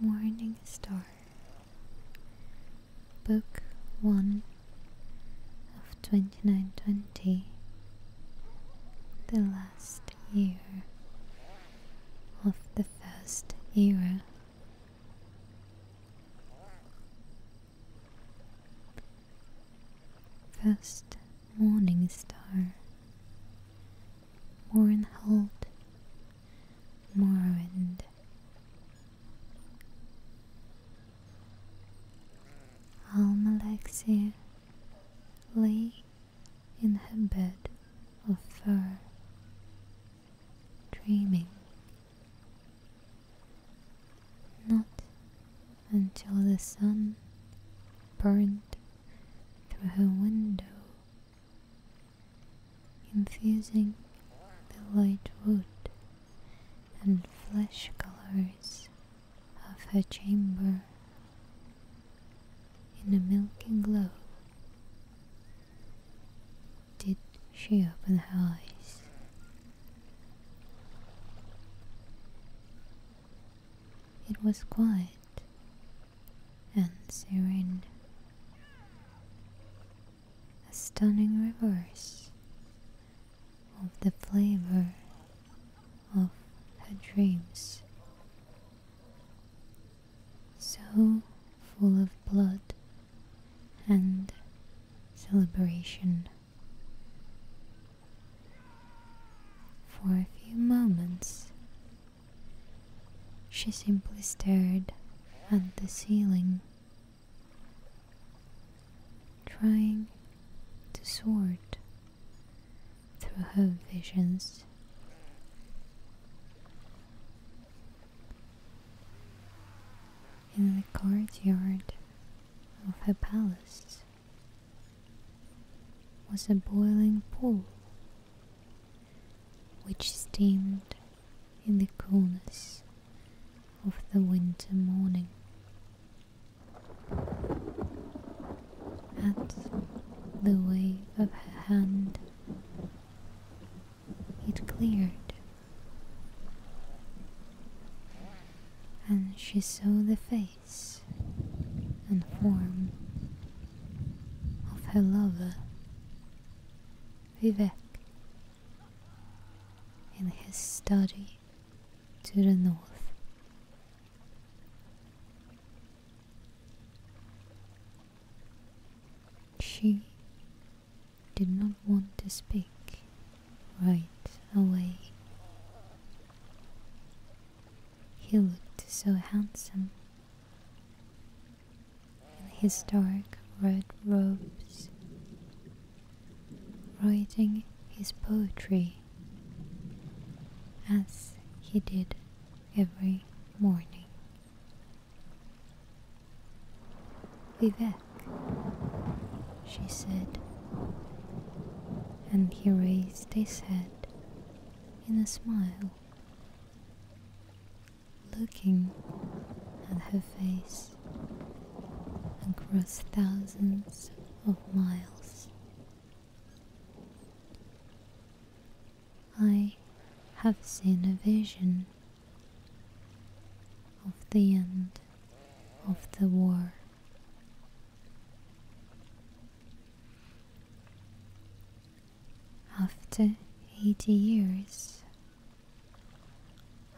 Morning Star, Book 1 of 2920, the last year of the first era. First morning star, Mournhold, Morrowind. Almalexia lay in her bed of fur, dreaming not until the sun burned through her window, infusing the light wood and flesh colors of her chamber in a milky glow did she open her eyes? It was quiet and serene. A stunning reverse of the flavor of her dreams. So full of blood and celebration. For a few moments, she simply stared at the ceiling, trying to sort through her visions in the courtyard of her palace was a boiling pool which steamed in the coolness of the winter morning. At the wave of her hand, it cleared, and she saw the face and form of her lover, Vivek, in his study to the north. She did not want to speak right away. He looked so handsome in his dark red robes, writing his poetry as he did every morning. Vivek, she said, and he raised his head in a smile, looking at her face across thousands of miles. I have seen a vision of the end of the war. After 80 years,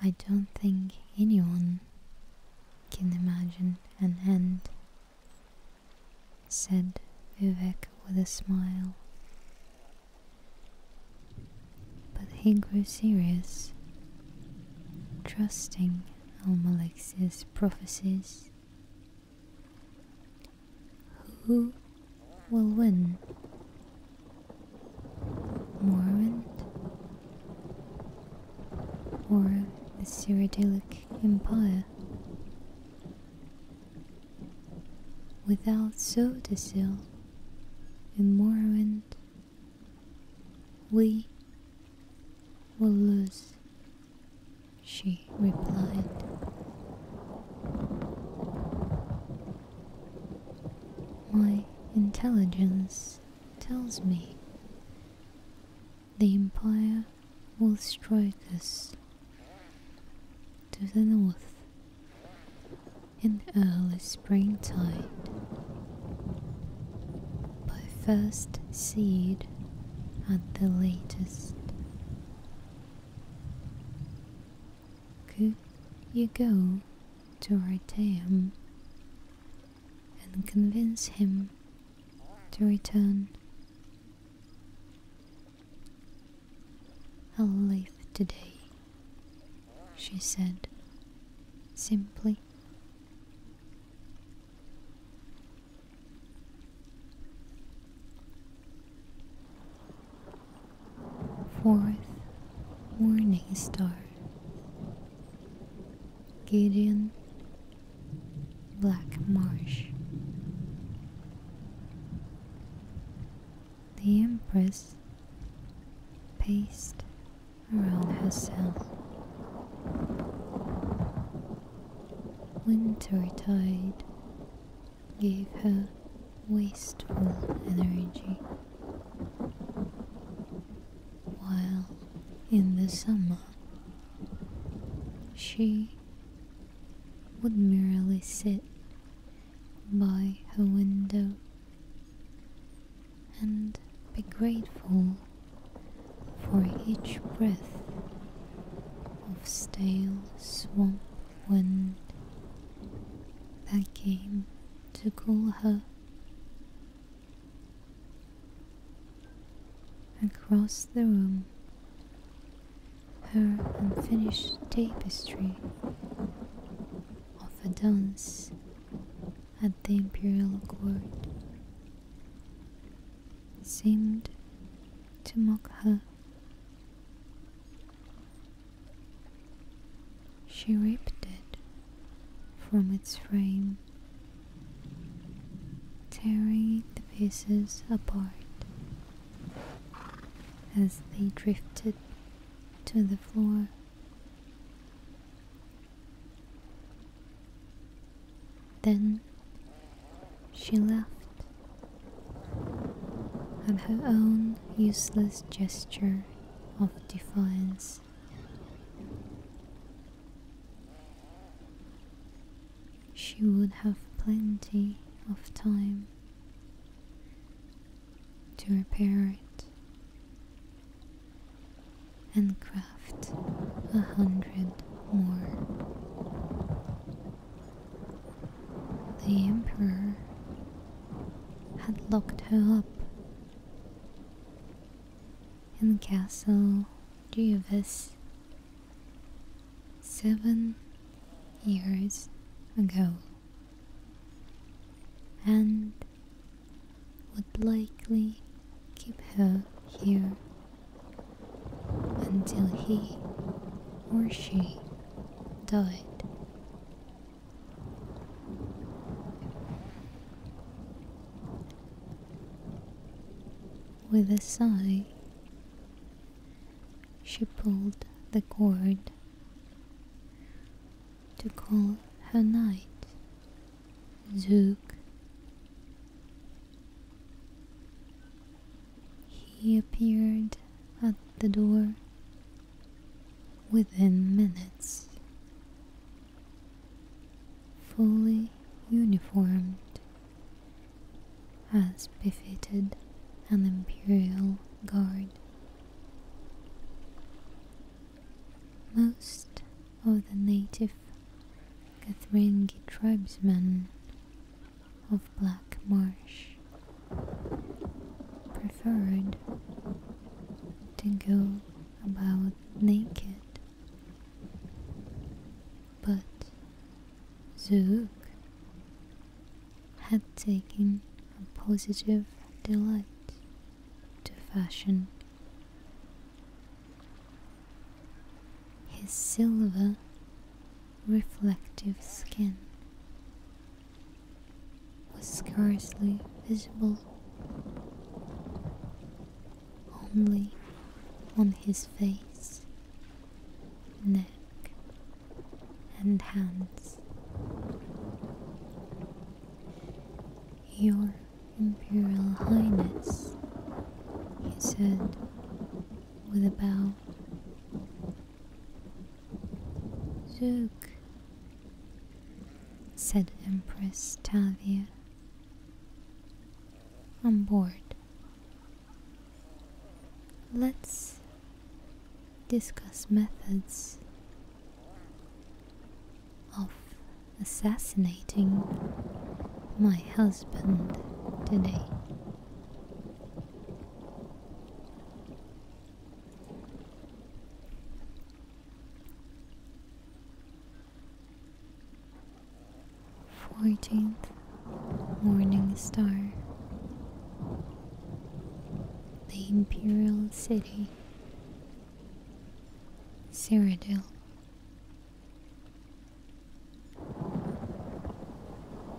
I don't think anyone can imagine an end, said Vivek with a smile. But he grew serious, trusting Almalexia's prophecies. Who will win? Morwent? Or the Cyrodiilic Empire? Without Sodasil, in Morrowind, we will lose, she replied. My intelligence tells me the Empire will strike us to the north in early springtide. By first seed at the latest. Could you go to Riteum and convince him to return? I'll today she said simply. Fourth Morning Star Gideon Black Marsh the Empress paced around herself. Winter tide gave her wasteful energy, while in the summer she would merely sit by her window and be grateful for each breath of stale swamp wind that came to cool her. Across the room, her unfinished tapestry of a dance at the imperial court seemed to mock her. She ripped it from its frame, tearing the pieces apart as they drifted to the floor. Then she left at her own useless gesture of defiance. She would have plenty of time to repair it and craft a hundred more. The Emperor had locked her up in Castle Geovis seven years ago, and would likely keep her here until he or she died. With a sigh, she pulled the cord to call her night. Zook. He appeared at the door within minutes, fully uniformed as befitted an imperial guard. Most of the native Kathrengi tribesmen of Black Marsh preferred to go about naked, but Zook had taken a positive delight to fashion. His silver, reflective skin was scarcely visible, only on his face, neck, and hands. Your Imperial Highness, he said with a bow. "Zuk," said Empress Tavia. I'm bored. Let's discuss methods of assassinating my husband today. Fourteenth Morning Star, the Imperial City. Cyrodiil.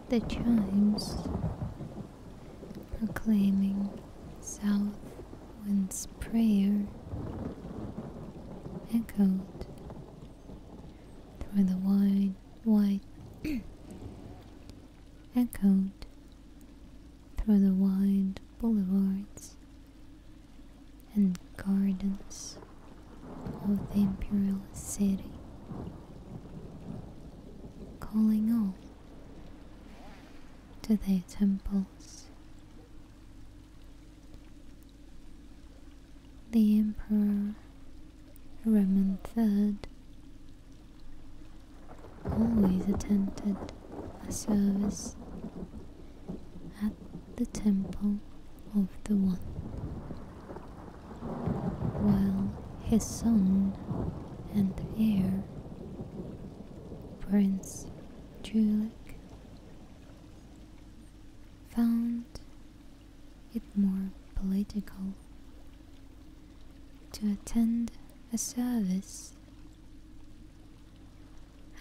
The chimes proclaiming south wind's prayer echoed through the wide, wide echoed through the wide boulevards and gardens of the imperial city, calling all to their temples. The Emperor Roman III always attended a service at the temple of the One, while his son and heir, Prince Julek, found it more political to attend a service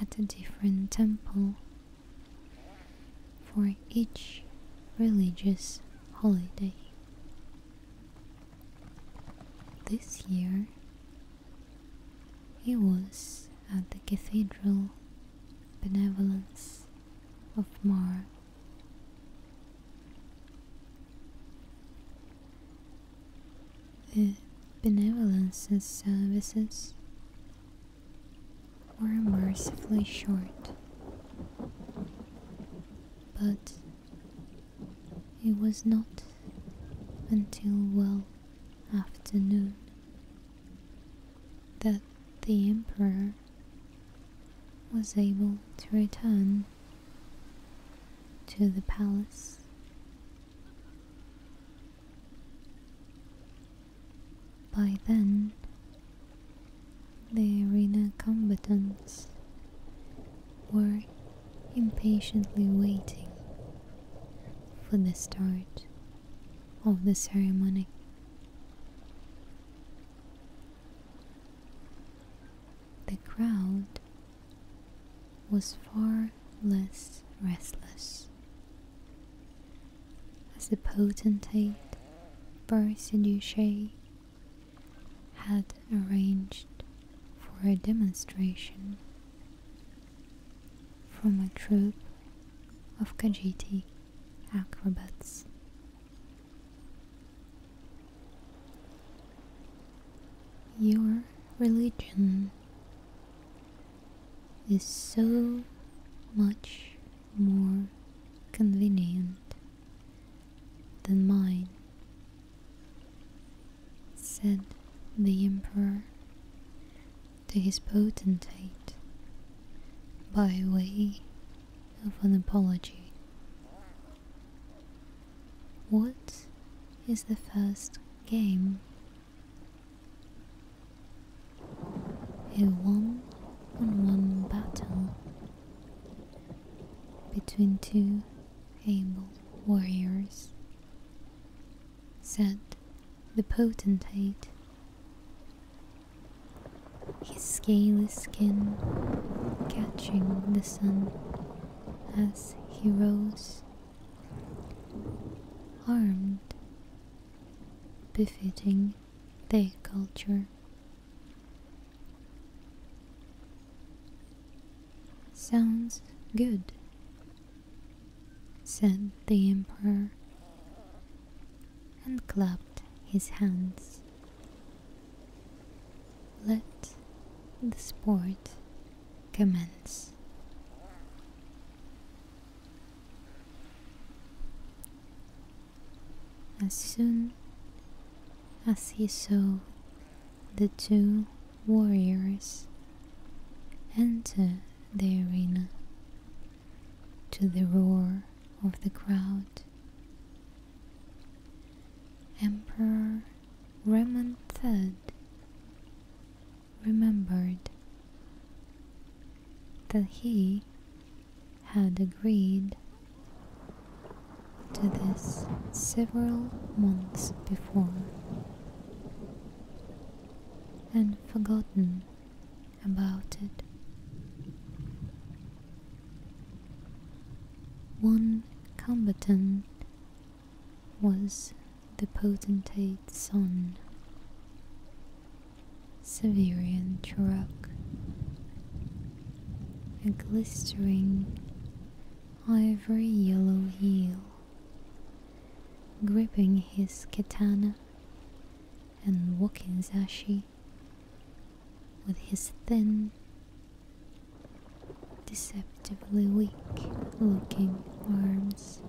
at a different temple for each religious holiday. This year he was at the Cathedral Benevolence of Mar the benevolences services were mercifully short, but it was not until well afternoon that the emperor was able to return to the palace. By then, the arena combatants were impatiently waiting for the start of the ceremony. The crowd was far less restless. As the potentate Barsiduche had arranged for a demonstration from a troupe of Kajiti acrobats. Your religion is so much more convenient than mine, said the emperor to his potentate by way of an apology. What is the first game? A one on one battle between two able warriors, said the potentate. His scaly skin catching the sun as heroes, armed, befitting their culture. Sounds good, said the emperor, and clapped his hands. Let the sport commence. As soon as he saw the two warriors enter the arena, to the roar of the crowd, Emperor Raymond III remembered that he had agreed to this several months before and forgotten about it. One combatant was the potentate's son, Severian Turok, a glistering ivory yellow heel, gripping his katana and walking zashi with his thin deceptively weak looking arms.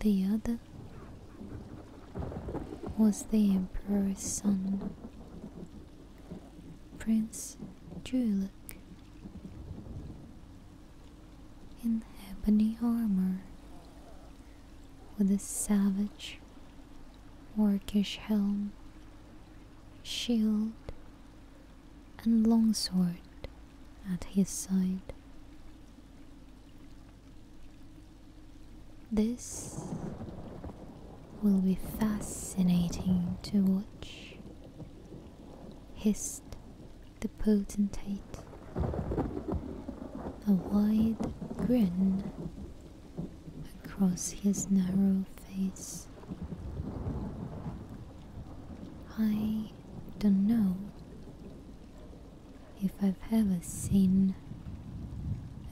The other was the Emperor's son, Prince Julek, in ebony armor with a savage, orcish helm shield, and longsword at his side. This will be fascinating to watch, hissed the potentate, a wide grin across his narrow face. I don't know if I've ever seen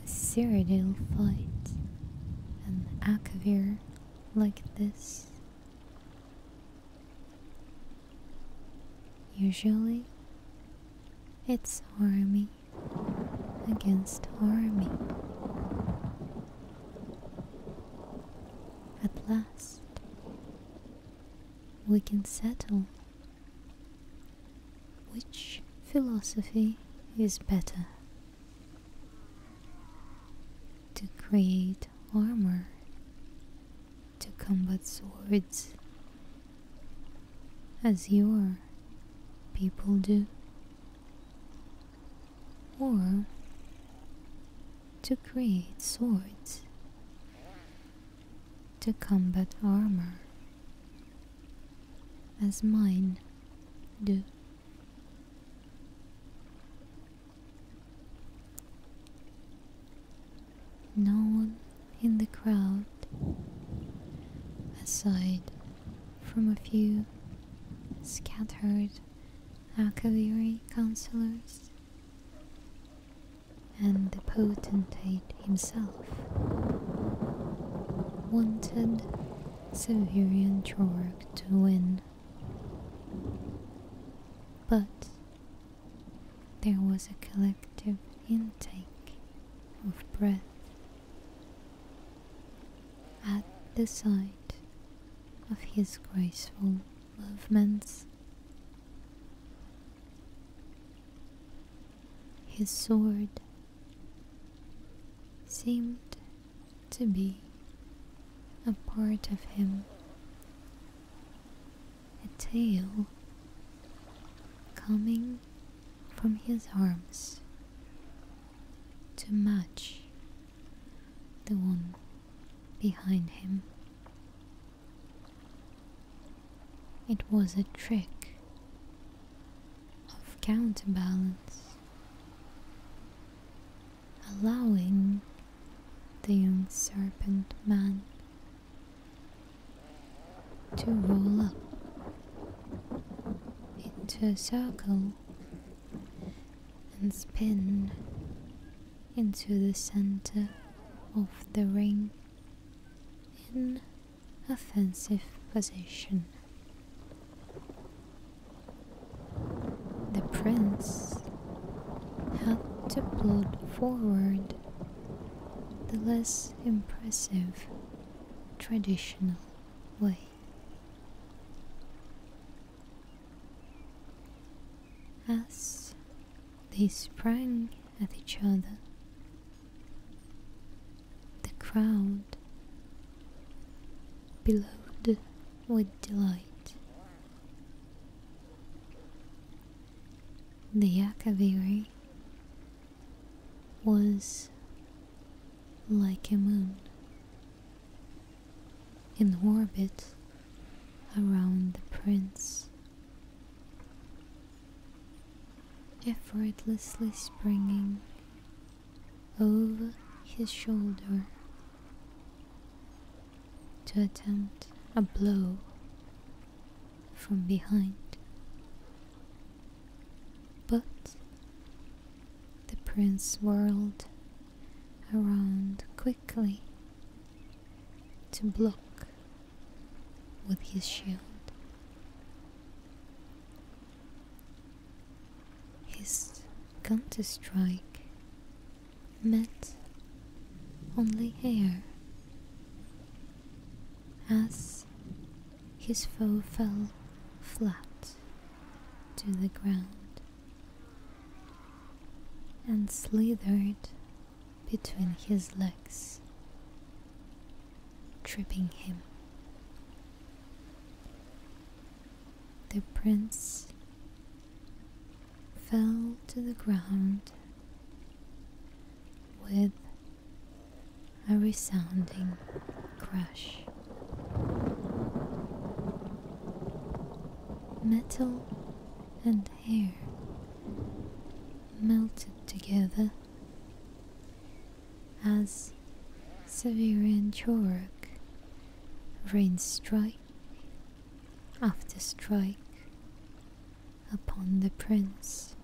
a Cyrodiil fight an Akavir like this. Usually, it's army against army. At last, we can settle which philosophy is better to create armor, to combat swords, as your people do or to create swords, to combat armor, as mine do. No one in the crowd aside from a few scattered Akaviri councillors and the potentate himself wanted Severian Jorg to win. But there was a collective intake of breath at the sight of his graceful movements. His sword seemed to be a part of him, a tail coming from his arms to match the one behind him. It was a trick of counterbalance, allowing the young serpent man to roll up into a circle and spin into the center of the ring in offensive position. The prince had to plod forward the less impressive traditional way. As they sprang at each other, the crowd billowed with delight. The Yakaviri was like a moon in orbit around the prince, effortlessly springing over his shoulder to attempt a blow from behind. But the prince whirled around quickly to block with his shield. His gun to strike met only air as his foe fell flat to the ground and slithered between his legs, tripping him. The prince fell to the ground with a resounding crash. Metal and hair melted together as Severian Chorak rains strike after strike upon the prince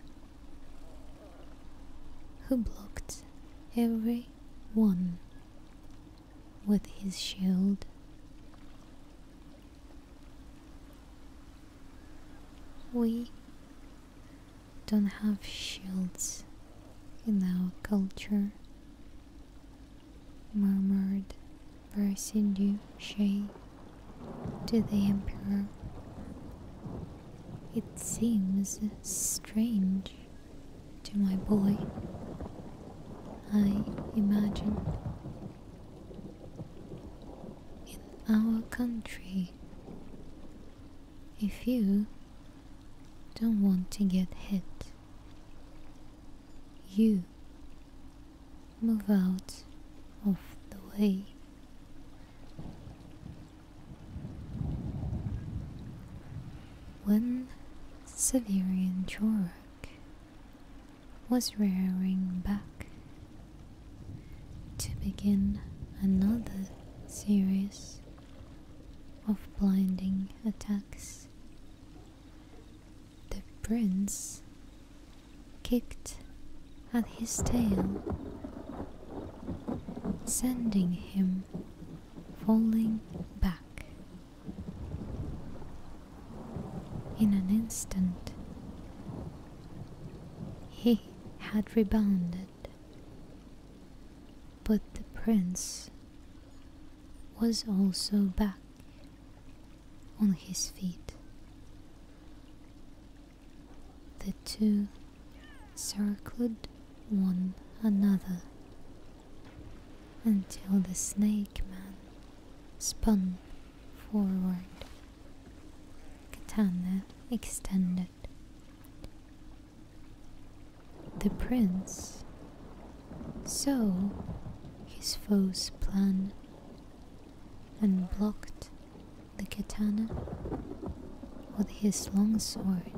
who blocked every one with his shield. We don't have shields in our culture, murmured Versidu Shay to the Emperor. It seems strange to my boy, I imagine. In our country, if you don't want to get hit, you move out of the way. One Severian Chorak was rearing back to begin another series of blinding attacks. The prince kicked at his tail, sending him falling back. In an instant, he had rebounded, but the prince was also back on his feet. The two circled one another until the snake man spun forward, katana extended. The prince saw his foe's plan and blocked the katana with his long sword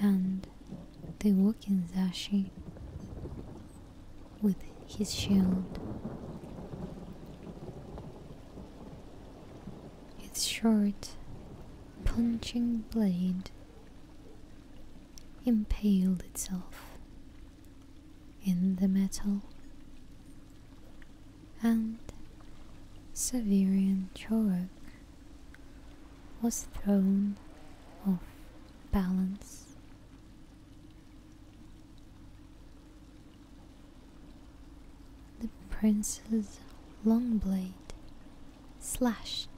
and the walking Zashi with his shield. Its short, punching blade impaled itself in the metal, and Severian chalk was thrown off balance. The prince's long blade slashed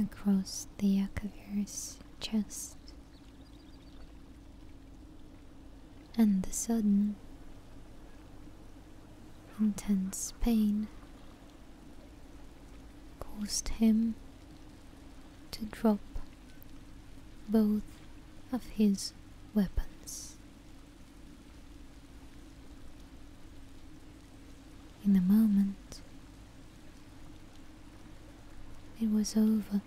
across the Yakavir's chest, and the sudden intense pain caused him to drop both of his weapons. In a moment, it was over.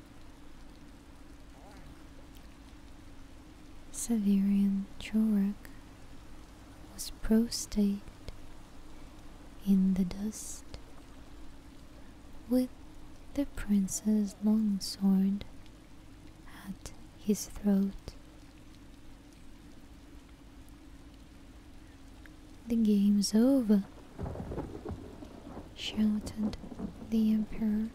Severian Chorak was prostrate in the dust with the prince's long sword at his throat. The game's over, shouted the emperor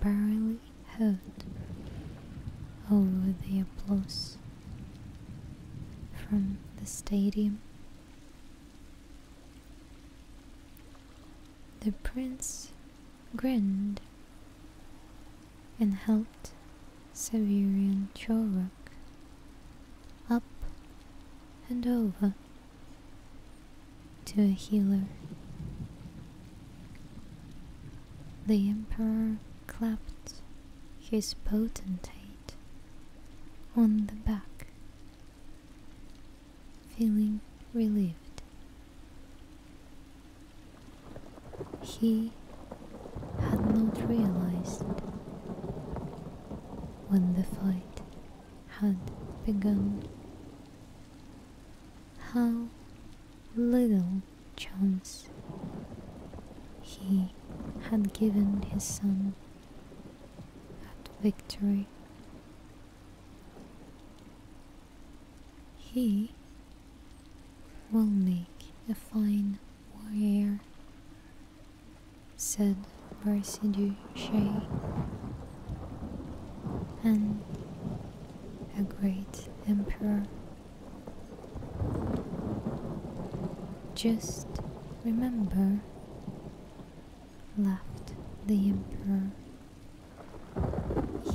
barely heard over the applause from the stadium. The prince grinned and helped Severian Chorok up and over to a healer the emperor clapped his potentate on the back, feeling relieved. He had not realized when the fight had begun how little chance he had given his son at victory. He will make a fine warrior, said Barsidu Shah, and a great emperor. Just remember, laughed the emperor,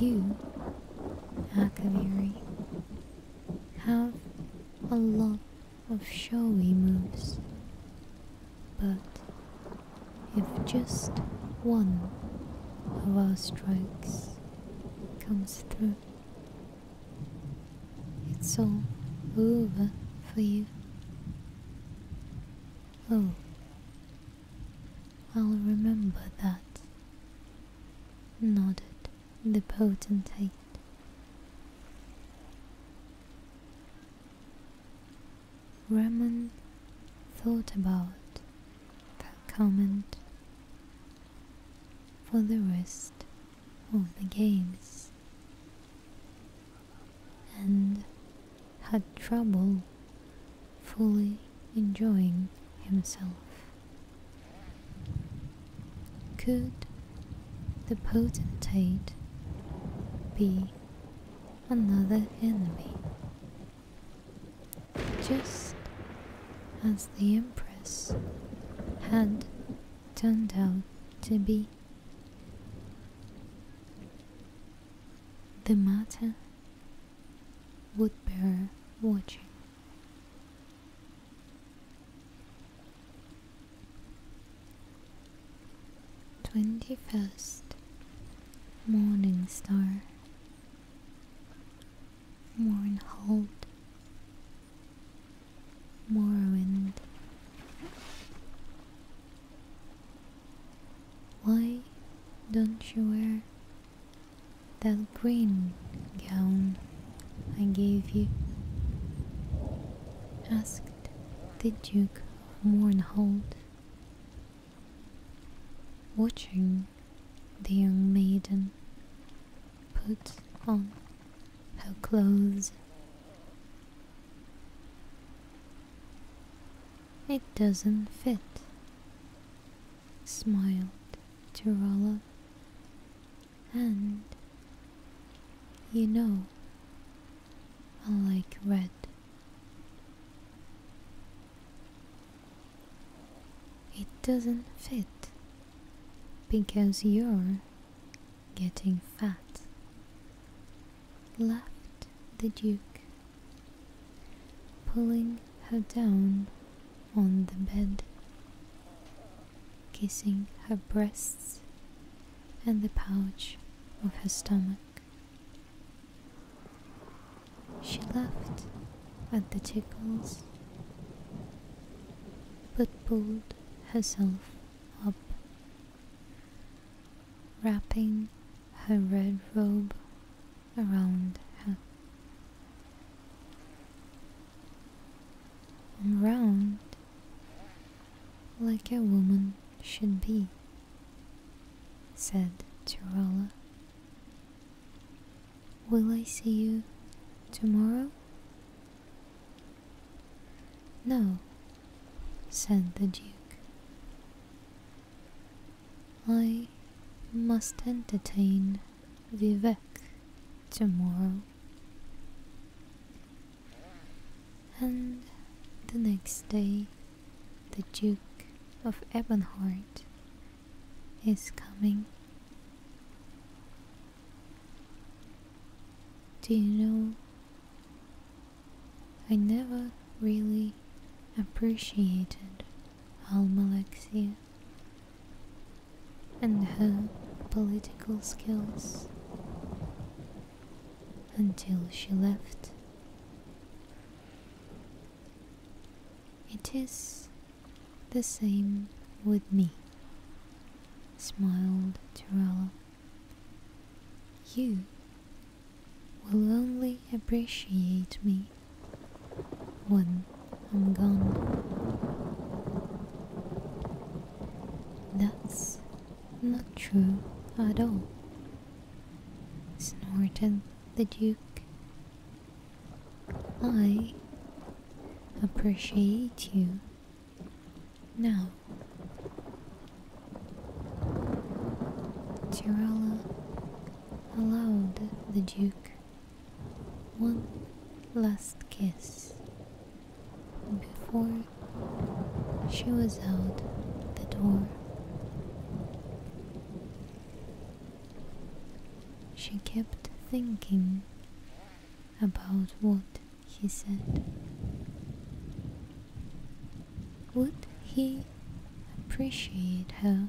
you, Akaviri, have a lot of showy moves, but if just one of our strikes comes through. It's all over for you. Oh, I'll remember that, nodded the potentate. Raman thought about that comment for the rest of the games and had trouble fully enjoying himself. Could the potentate be another enemy just as the Empress had turned out to be. The matter would bear watching. Twenty first Morning Star Mournhold, Morrowind. Why don't you wear that green gown I gave you? asked the Duke of Mournhold. Watching the young maiden put on her clothes. It doesn't fit, smiled Tirola. And you know, I like red. It doesn't fit because you're getting fat. Laughed the Duke, pulling her down on the bed, kissing her breasts and the pouch of her stomach. She laughed at the tickles, but pulled herself up, wrapping her red robe around her. And round like a woman should be, said Tirola. Will I see you tomorrow? No, said the Duke. I must entertain Vivek tomorrow. And the next day, the Duke of Ebonheart is coming. Do you know? I never really appreciated Almalexia and her political skills until she left. It is the same with me, smiled Torella. You will only appreciate me when I'm gone. That's not true at all, snorted the Duke. I appreciate you now. Tirola allowed the Duke one last kiss before she was out the door. She kept thinking about what he said. Would he appreciate her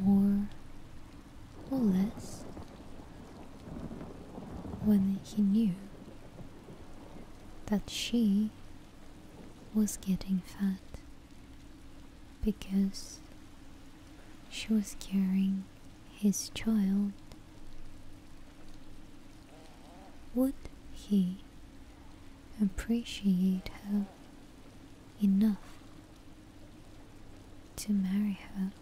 more or less when he knew that she was getting fat? because she was carrying his child. Would he appreciate her enough to marry her?